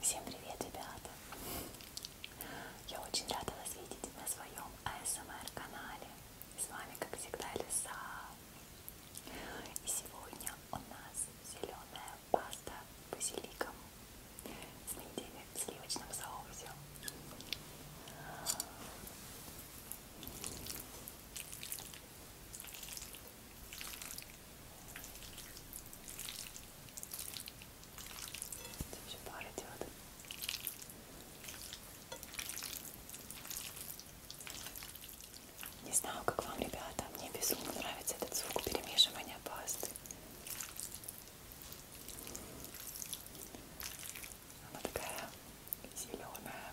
Всем привет, ребята! Я очень рада вас видеть на своем АСМР-канале. С вами, как всегда, Лиса. И сегодня у нас зеленая паста базиликом с неделя в сливочном соусе. Здесь же пар идет. Не знаю, как вам, ребята, мне безумно нравится этот звук перемешивания пасты. Она такая зеленая.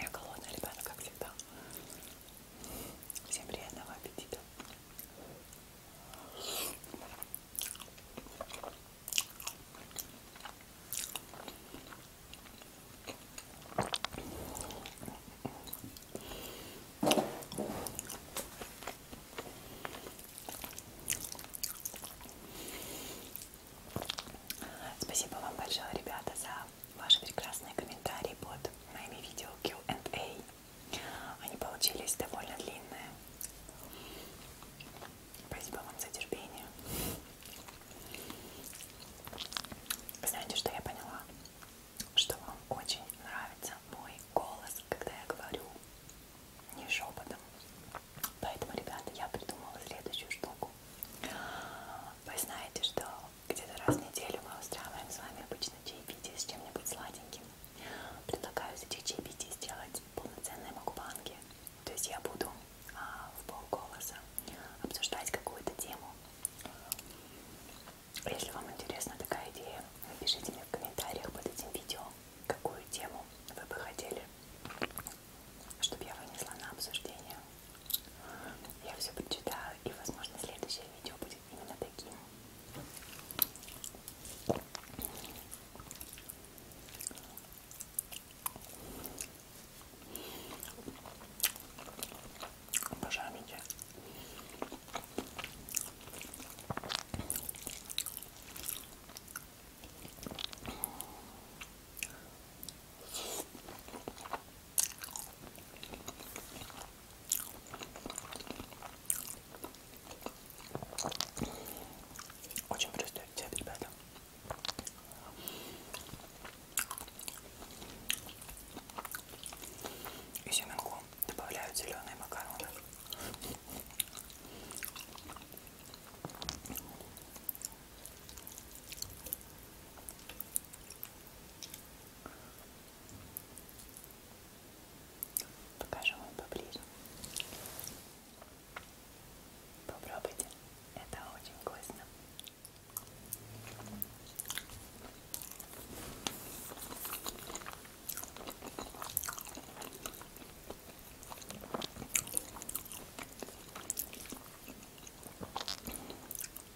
Я голодная, ребята, как всегда. Всем приятного аппетита. Спасибо вам большое, ребята, за ваши прекрасные комментарии под моими видео Q&A. Они получились довольно длинные. Спасибо вам за терпение. Знаете, что я поняла? Что вам очень нравится мой голос, когда я говорю не шепотом. Поэтому, ребята, я придумала следующую штуку. Вы знаете, что где-то раз в неделю мы устраиваем с вами обычно чаепитие с чем-нибудь сладеньким. Предлагаю из этих чаепитий сделать полноценные макбанги. То есть я буду а, в полголоса обсуждать какую-то тему. Если вам интересна такая идея, напишите мне в комментариях под этим видео, какую тему вы бы хотели, чтобы я вынесла на обсуждение. Я все прочитаю и, возможно, следующее видео будет именно таким. Обожаю мидии. Очень простой рецепт, ребята. И семенку добавляют зеленые макароны. Покажу вам поближе. Попробуйте, это очень вкусно.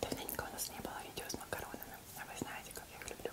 Давненько у нас не было видео с макаронами, а вы знаете, как я их люблю.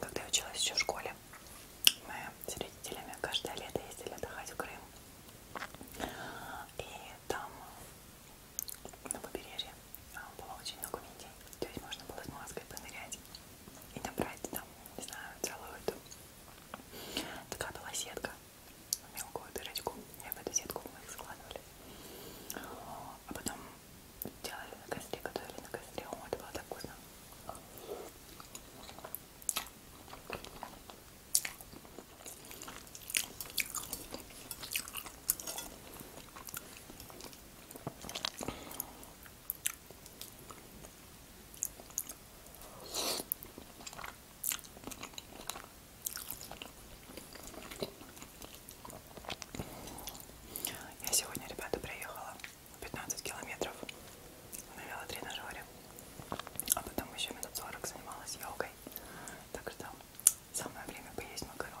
Когда я училась еще в школе, мы с родителями каждое лето ездили отдыхать в Крым. И там на побережье а, было очень много мидий. То есть можно было с маской понырять и набрать там, не знаю, целую эту. Такая была сетка мелкую дырочку и в эту сетку мы их складывали. А потом делали на костре, готовили на костре. О, это было так вкусно. Я сегодня, ребята, приехала 15 километров на велотренажере, а потом еще минут 40 занималась йогой. Так что самое время поесть макарон.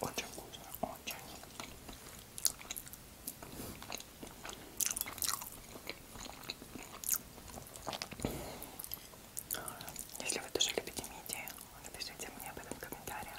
Очень вкусно, очень. Если вы тоже любите мидии, напишите мне об этом в комментариях.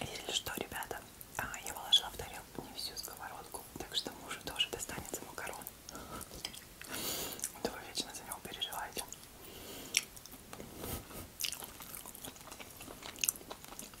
Если что, ребята, а, я положила в тарелку не всю сковородку, так что мужу тоже достанется макарон. Да вы вечно за него переживаете.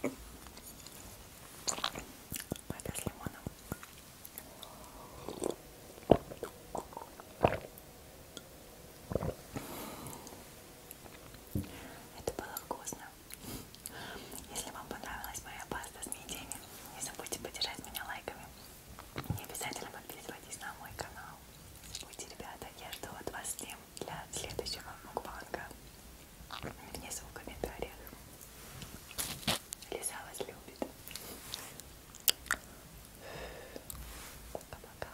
Это с лимоном. Это было вкусно. Если вам понравилась моя паста с мидиями, не забудьте поддержать меня лайками. Не обязательно подписывайтесь на мой канал. Будьте, ребята, я жду от вас тем для следующего мукбанга. Внизу в комментариях. Лиза вас любит. Пока-пока.